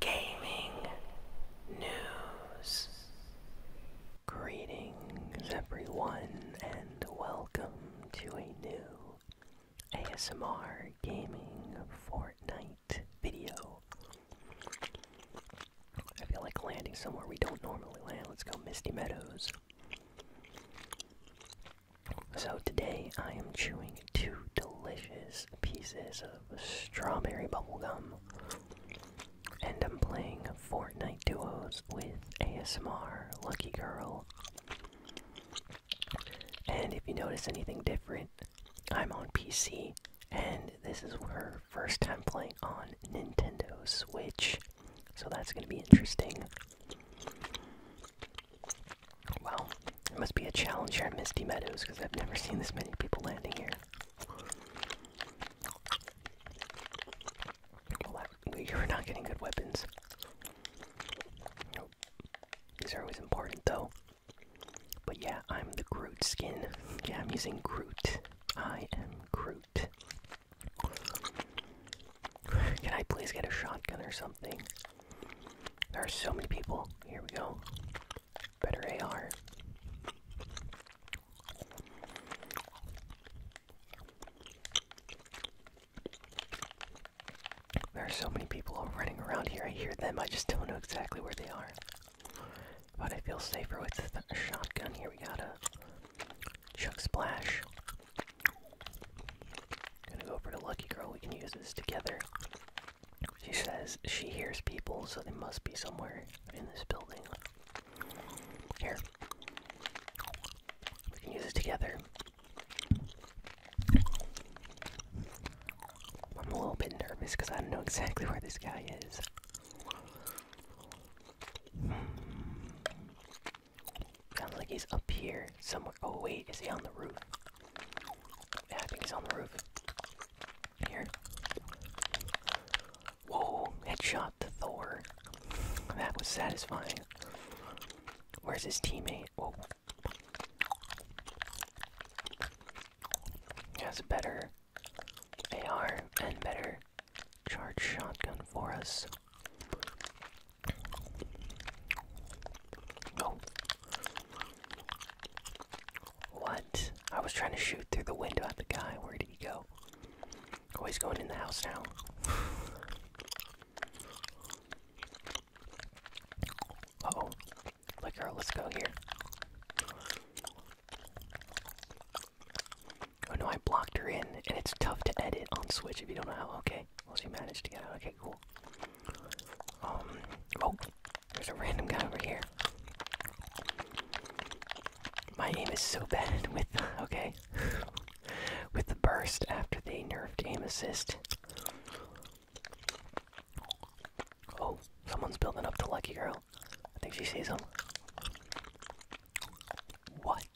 gaming news. Greetings, everyone, and welcome to a new ASMR Gaming Fortnite video. I feel like landing somewhere we don't normally land. Let's go Misty Meadows. So today I am chewing two delicious pieces of strawberry bubblegum. And I'm playing Fortnite duos with ASMR Lucky Girl. And if you notice anything different, I'm on PC, and this is her first time playing on Nintendo Switch. So that's gonna be interesting. Wow, it must be a challenge here at Misty Meadows because I've never seen this many people landing here you're not getting good weapons. These are always important, though. But yeah, I'm the Groot skin. Yeah, I'm using Groot. I am Groot. Can I please get a shotgun or something? There are so many people. Here we go. Better AR. There are so many people running around here. I hear them. I just don't know exactly where they are. But I feel safer with a shotgun. Here we got a Chuck Splash. Gonna go over to Lucky Girl. We can use this together. She says she hears people, so they must be somewhere in this building. Here. We can use it together. I'm a little bit nervous because I don't know exactly where this guy is. Hmm. Sounds like he's up here somewhere. Oh, wait, is he on the roof? I think he's on the roof. Here. Whoa, headshot to Thor. That was satisfying. Where's his teammate? Whoa. has a better AR and better charge shotgun for us. Oh, what? I was trying to shoot through the window at the guy. Where did he go? Oh, he's going in the house now. oh. Look, girl, let's go here. Oh no, I blocked her in, and it's tough to edit on Switch if you don't know how. Okay, well, she managed to get out. Okay, cool. Um, oh, there's a random guy over here. My aim is so bad with okay. with the burst after they nerfed aim assist. Oh, someone's building up to lucky girl. I think she sees him. What?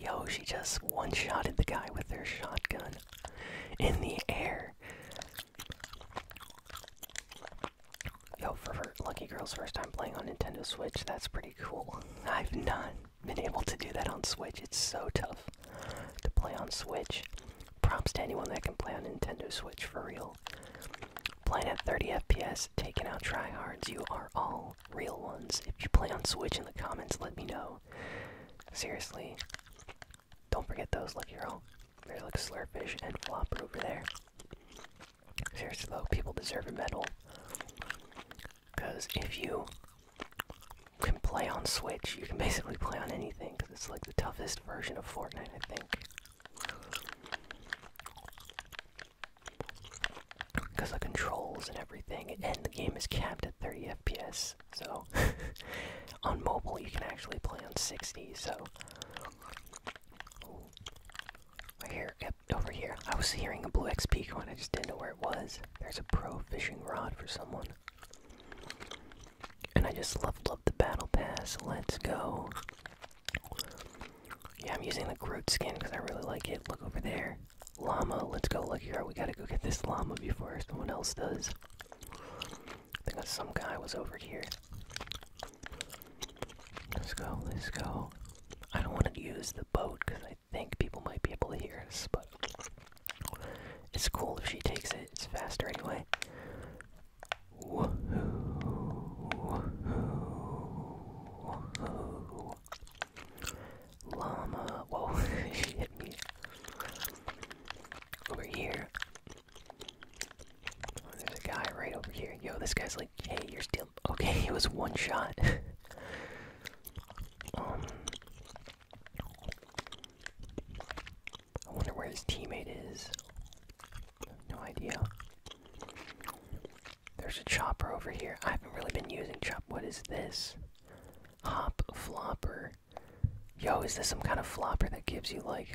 Yo, she just one-shotted the guy with her shotgun in the air. Yo, for, for Lucky Girl's first time playing on Nintendo Switch, that's pretty cool. I've not been able to do that on Switch. It's so tough to play on Switch. Props to anyone that can play on Nintendo Switch for real. Playing at 30 FPS, taking out tryhards, you are all real ones. If you play on Switch in the comments, let me know. Seriously. Don't forget those, Lucky Girl. There's like Slurfish and Flop over there. Seriously though, people deserve a medal. Because if you can play on Switch, you can basically play on anything, because it's like the toughest version of Fortnite, I think. Because the controls and everything, and the game is capped at 30 FPS, so on mobile you can actually play on 60, so here, over here. I was hearing a blue XP coin, I just didn't know where it was. There's a pro fishing rod for someone. And I just leveled up the battle pass. Let's go. Yeah, I'm using the Groot skin because I really like it. Look over there. Llama, let's go. Look here, we gotta go get this llama before someone else does. I think some guy was over here. Let's go, let's go. I don't want to use the boat because I think people might be able to hear us, but it's cool if she takes it. It's faster anyway. Llama. Whoa, she hit me. Over here. There's a guy right over here. Yo, this guy's like, hey, you're still. Okay, it was one shot. um. I wonder where his teammate is. No idea. There's a chopper over here. I haven't really been using chop. What is this? Hop flopper. Yo, is this some kind of flopper that gives you like.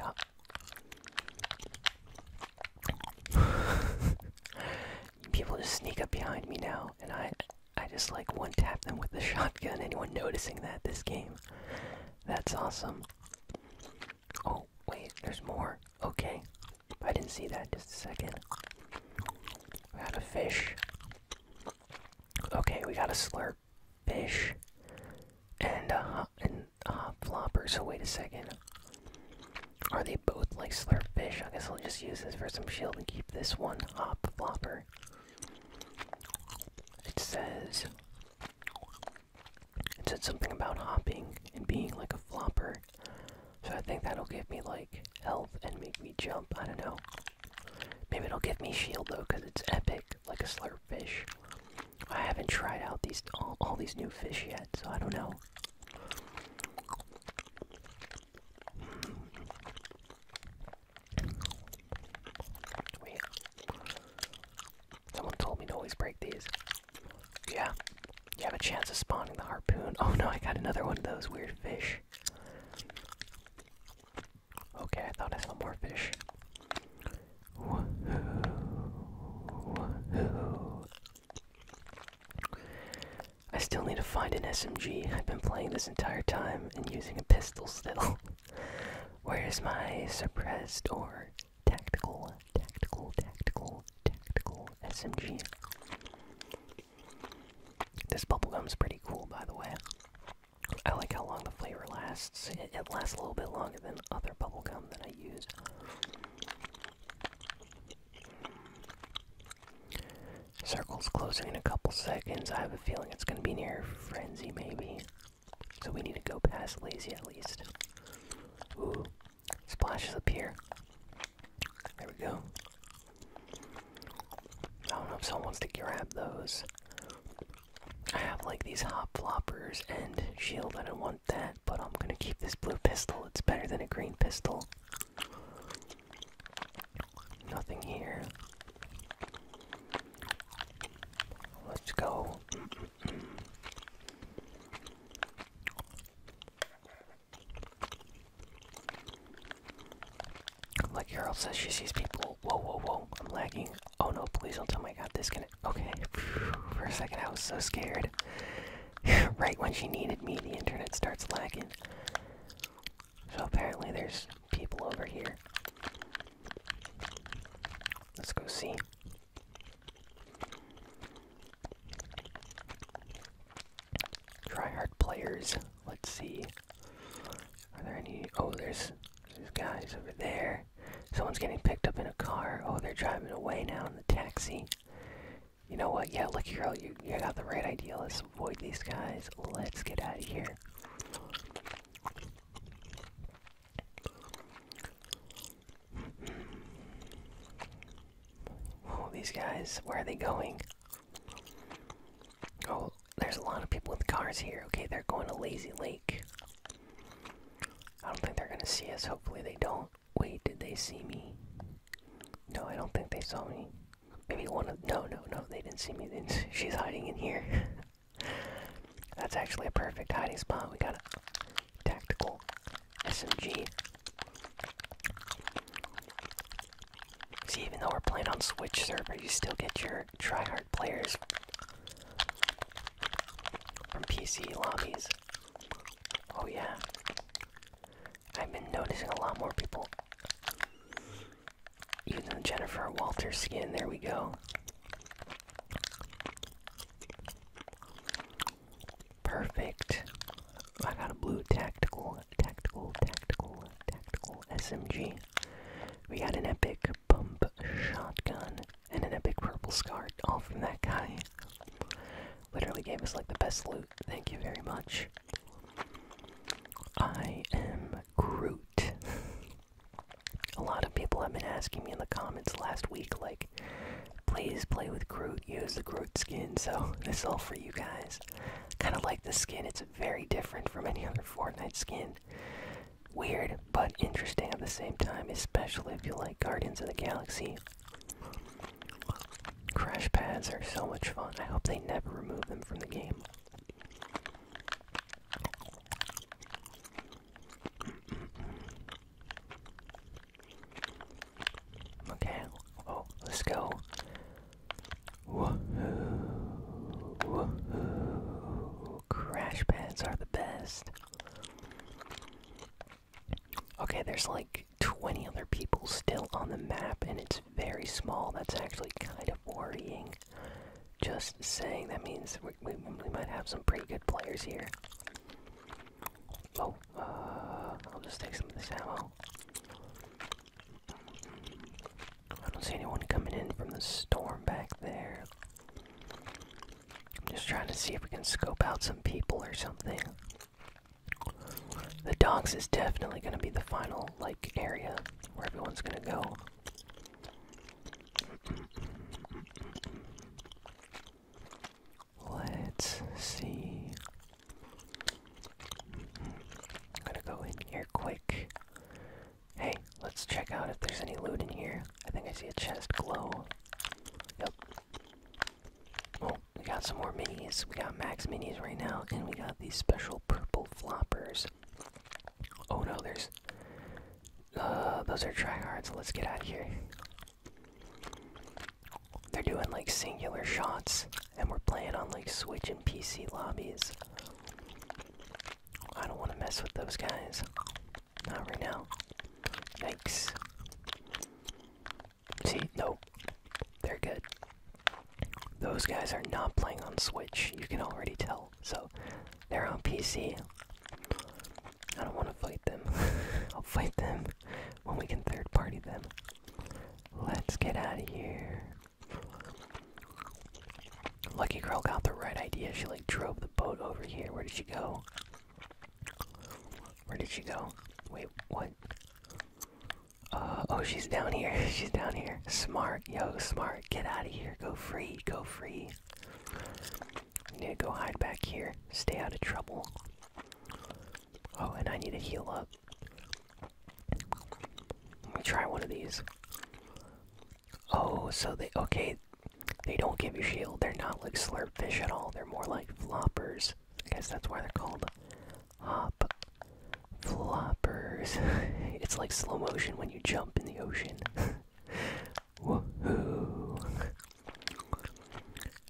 Uh, people just sneak up behind me now, and I, I just like one tap them with the shotgun. Anyone noticing that this game? That's awesome. Oh wait, there's more. Okay, I didn't see that. Just a second. We got a fish. Okay, we got a slurp fish, and a uh, and uh, flopper, so wait a second. Are they both like fish? I guess I'll just use this for some shield and keep this one hop flopper. It says. It said something about hopping and being like a flopper. So I think that'll give me like health and make me jump. I don't know. Maybe it'll give me shield though, because it's epic, like a slurp fish. I haven't tried out these all, these new fish yet, so I don't know. Hmm. Someone told me to always break these. Yeah. You have a chance of spawning the harpoon. Oh no, I got another one of those weird fish. Okay, I thought I saw more fish. I still need to find an SMG. I've been playing this entire time and using a pistol still. Where's my suppressed or tactical, tactical, tactical, tactical SMG? This bubblegum's pretty cool, by the way. I like how long the flavor lasts. It, lasts a little bit longer than other bubblegum that I use. Circle's closing in a couple seconds. I have a feeling it's going to be near Frenzy, maybe. So we need to go past Lazy at least. Ooh. Splashes up here. There we go. I don't know if someone wants to grab those. I have like these hop floppers and shield. I don't want that, but I'm gonna keep this blue pistol. It's better than a green pistol. Nothing here. Let's go. Mm -mm -mm. Like Carol says, she sees people whoa, whoa, whoa, I'm lagging. Oh no, please don't tell me I got disconnected. Okay. For a second, I was so scared. right when she needed me, the internet starts lagging. So apparently, there's people over here. Let's go see. Tryhard players. Let's see. Are there any? Oh, there's these guys over there. Someone's getting picked up in a car. Oh, they're driving away now in the taxi. You know what? Yeah, look, girl, you, you got the right idea. Let's avoid these guys. Let's get out of here. Oh, these guys, where are they going? Oh, there's a lot of people with cars here. Okay, they're going to Lazy Lake. I don't think they're gonna see us. Hopefully, they don't. Wait, did they see me? No, I don't think they saw me. Maybe one of. No, no, no, they didn't see me. she's hiding in here. That's actually a perfect hiding spot. We got a tactical SMG. See, even though we're playing on Switch server, you still get your tryhard players from PC lobbies. Oh, yeah. I've been noticing a lot more people using Jennifer Walter skin. There we go. Perfect. I got a blue tactical, tactical, tactical, tactical SMG. We got an epic pump shotgun and a big purple scar, all from that guy. Literally gave us like the best loot. Thank you very much. I am Groot. A lot of people have been asking me in the comments last week, like, please play with Groot, use the Groot skin, so this is all for you guys. Kinda like the skin, it's very different from any other Fortnite skin. Weird, but interesting at the same time, especially if you like Guardians of the Galaxy. Crash pads are so much fun. I hope they never remove them from the game. Okay, oh, let's go. Crash pads are the best. Okay, there's like 20 other people still on the map, and it's very small. That's actually kind of worrying. Just saying, that means we, might have some pretty good players here. Oh, uh, I'll just take some of this ammo. I don't see anyone coming in from the storm back there. I'm just trying to see if we can scope out some people or something. The docks is definitely gonna be the final like area where everyone's gonna go. Let's see. I'm gonna go in here quick. Hey, let's check out if there's any loot in here. I think I see a chest glow. Yep. Oh, we got some more minis. We got max minis right now, and we got these special purple floppers. Oh no, there's. Uh, those are tryhards. Let's get out of here. They're doing like singular shots, and we're playing on like Switch and PC lobbies. I don't want to mess with those guys. Not right now. Yikes. See, nope. They're good. Those guys are not playing on Switch, you can already tell. So, they're on PC. I don't want to fight them. I'll fight them when we can third party them. Let's get out of here. Lucky girl got the right idea. She like drove the boat over here. Where did she go? Where did she go? Wait, what? Uh, oh, she's down here. she's down here. Smart, yo, smart. Get out of here. Go free. Go free. I need to go hide back here. Stay out of trouble. Oh, and I need to heal up. Let me try one of these. Oh, so they okay. They don't give you shield. They're not like slurp fish at all. They're more like floppers. I guess that's why they're called hop floppers. it's like slow motion when you jump in the ocean. Woohoo!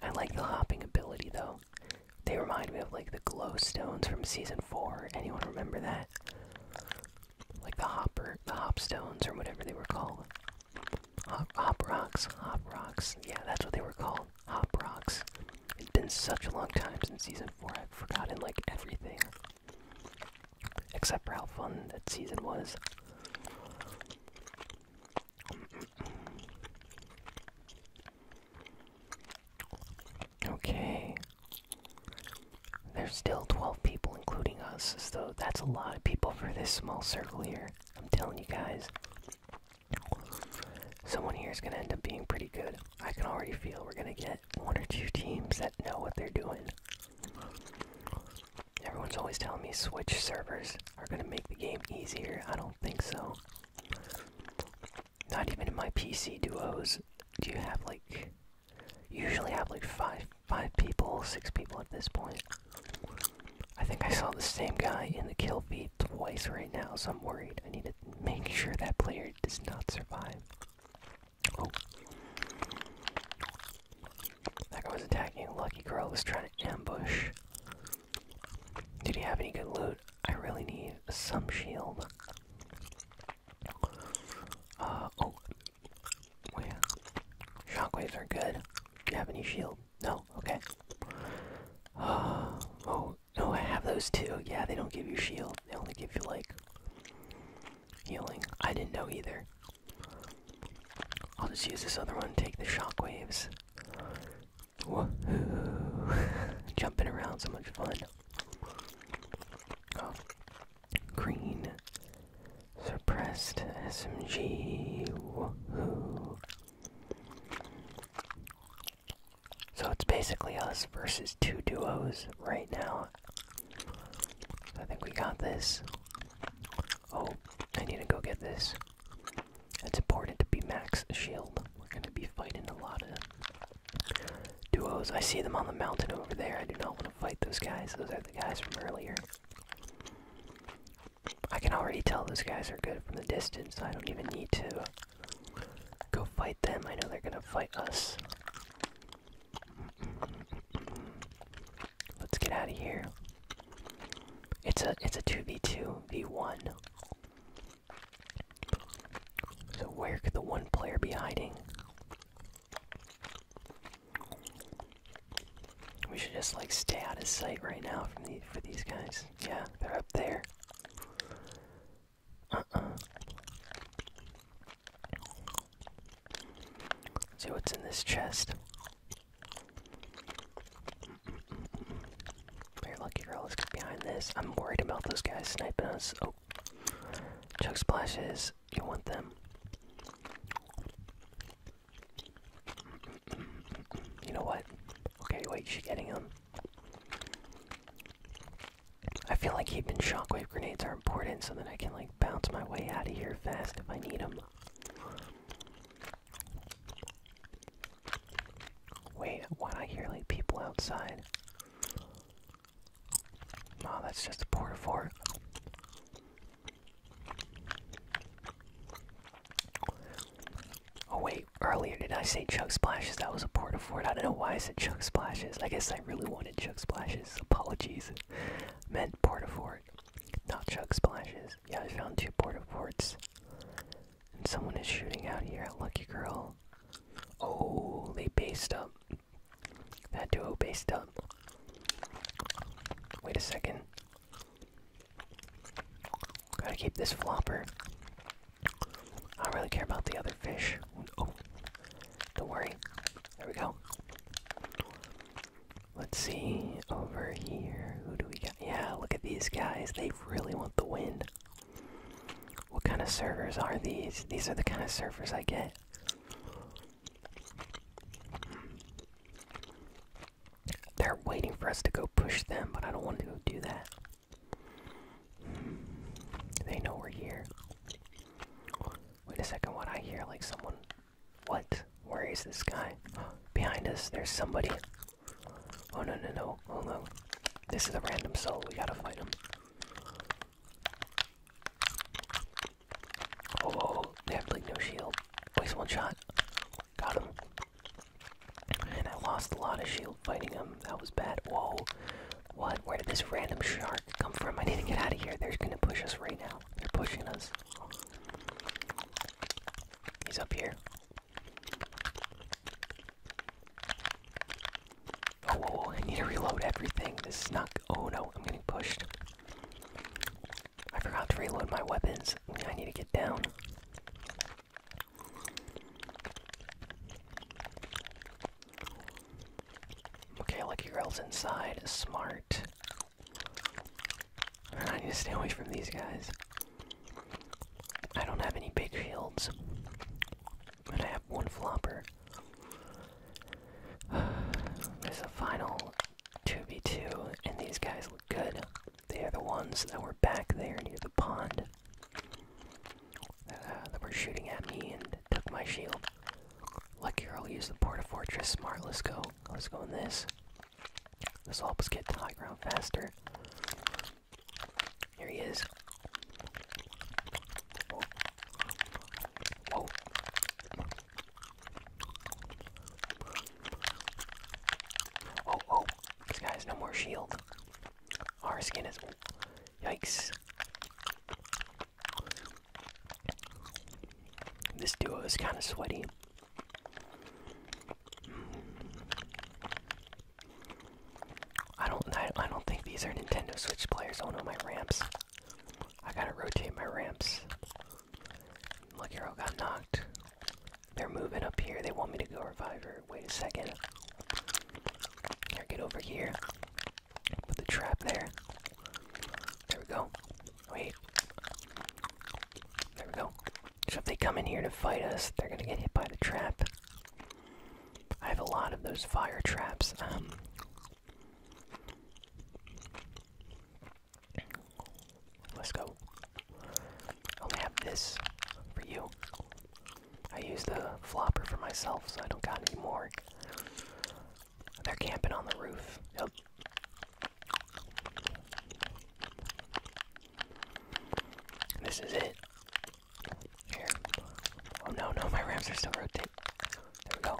I like the hopping ability though. They remind me of like the glowstones from season four. Anyone remember that? like the hopper, the hopstones, or whatever they were called. Hop, rocks, hop rocks. Yeah, that's what they were called. Hop rocks. It's been such a long time since season four. I've forgotten like everything, except for how fun that season was. Okay. There's still 12 people, including us, so that's a lot of people for this small circle here. I'm telling you guys. Someone here is going to end up being pretty good. I can already feel we're going to get one or two teams that know what they're doing. Everyone's always telling me Switch servers are going to make the game easier. I don't think so. Not even in my PC duos do you have like Usually have like five five people, six people at this point. I think I saw the same guy in the kill feed twice right now, so I'm worried. I need to make sure that player does not survive. Oh. That guy was attacking. Lucky girl was trying to ambush. Did he have any good loot? I really need some shield. Uh, oh. yeah. Shockwaves are good. Do you have any shield? No? Okay. Uh, oh, no, I have those too. Yeah, they don't give you shield. They only give you, like, healing. I didn't know either. I'll just use this other one, take the shockwaves. Woohoo! Jumping around, so much fun. Oh. Green. Suppressed SMG. Woohoo. So it's basically us versus two duos right now. I think we got this. Oh, I need to go get this. It's important to be max shield. We're gonna be fighting a lot of duos. I see them on the mountain over there. I do not want to fight those guys. Those are the guys from earlier. I can already tell those guys are good from the distance. I don't even need to go fight them. I know they're gonna fight us. Let's get out of here. It's a it's a two v two v one. So where could the one player be hiding? We should just like stay out of sight right now from the for these guys. Yeah, they're up there. Uh-uh. See what's in this chest. Very lucky girl is behind this. I'm worried about those guys sniping us. Oh. Chug splashes. You want them? You know what? Okay, wait, she's getting them. I feel like keeping shockwave grenades are important so that I can like bounce my way out of here fast if I need them. Wait, why do I hear like people outside? Oh, that's just a porta fort. Oh wait, earlier did I say chug splashes? That was a porta fort. I don't know why I said chug splashes. I guess I really wanted chug splashes. Apologies. Meant porta fort, not chug splashes. Yeah, I found two porta forts. And someone is shooting out here at Lucky Girl. Oh, they based up that duo based up. Wait a second. Gotta keep this flopper. I don't really care about the other fish. Oh, don't worry. There we go. Let's see over here. Who do we got? Yeah, look at these guys. They really want the win. What kind of servers are these? These are the kind of servers I get. They're waiting for us to go push them, but I don't want to go do that. They know we're here. Wait a second, what I hear like someone. What? Where is this guy? Behind us, there's somebody. Oh no, no, no. Oh no. This is a random soul. We gotta fight him. Oh, oh, oh, they have like no shield. Waste oh, one shot. Got him. And I lost a lot of shield fighting him. That was bad. Whoa. What? Where did this random shark come from? I need to get out of here. They're gonna push us right now. They're pushing us. He's up here. Oh, I need to reload everything. This snuck. Oh no, I'm getting pushed. I forgot to reload my weapons. I need to get down. Okay, Lucky Girl's inside. Smart. I need to stay away from these guys. I don't have any big shields one flopper. There's a final 2v2, and these guys look good. They are the ones that were back there near the pond uh, that were shooting at me and took my shield. Look here, I'll use the Port of Fortress. Smart, let's go. Let's go in this. This will help us get to high ground faster. Here he is. Oh, oh, oh, this guy has no more shield. Our skin is. Yikes. This duo is kind of sweaty. I don't. I don't think these are Nintendo Switch players. Oh no, my ramps. I gotta rotate my ramps. Look, Hero got knocked. They're moving up here. They want me to go Reviver. Wait a second. Here, get over here. Put the trap there. There we go. Wait. There we go. So if they come in here to fight us, they're gonna get hit by the trap. I have a lot of those fire traps. Um, Let's go. I only have this for you. I use the flopper for myself, so I don't got any more. They're camping on the roof. This is it. Here. Oh no, no, my ramps are still rotating. There we go.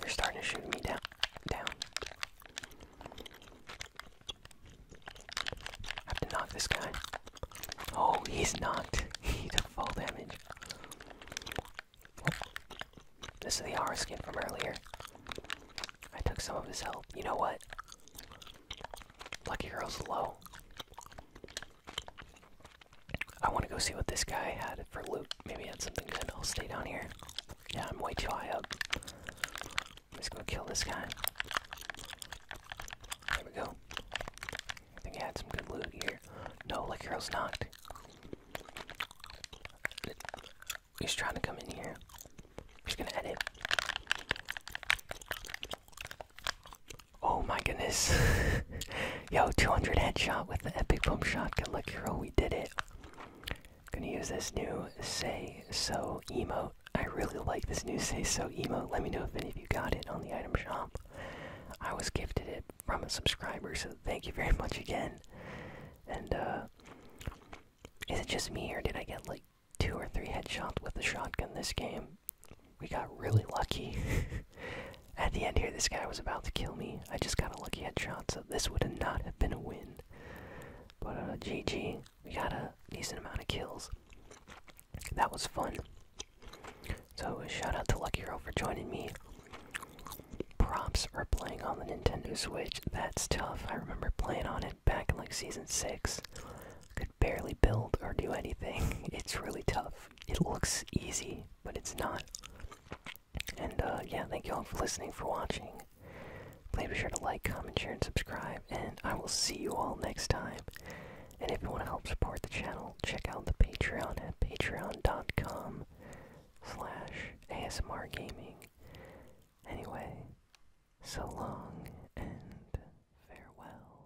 They're starting to shoot me down. Down. have to knock this guy. Oh, he's knocked. he took fall damage. This is the R skin from earlier. I took some of his health. You know what? Lucky Girl's low. I want to go see what this guy had for loot. Maybe he had something good. I'll stay down here. Yeah, I'm way too high up. Let's go kill this guy. There we go. I think he had some good loot here. No, like Hero's knocked. He's trying to come in here. He's gonna edit. Oh my goodness. Yo, 200 headshot with the epic pump shot. Good luck, hero. We did it. Gonna use this new say so emo. I really like this new say so emo. Let me know if any of you got it on the item shop. I was gifted it from a subscriber, so thank you very much again. And, uh, is it just me, or did I get like two or three headshots with the shotgun this game? we got really lucky. At the end here, this guy was about to kill me. I just got a lucky headshot, so this would have not have been a win. But GG, uh, we got a decent amount of kills. That was fun. So shout out to Lucky Hero for joining me. Props for playing on the Nintendo Switch. That's tough. I remember playing on it back in like season six. Could barely build or do anything. It's really tough. It looks easy, but it's not. And uh, yeah, thank you all for listening, for watching. Please be sure to like, comment, share, and subscribe. And I will see you all next time. And if you want to help support the channel, check out the Patreon at patreon.com slash ASMR gaming. Anyway, so long and farewell.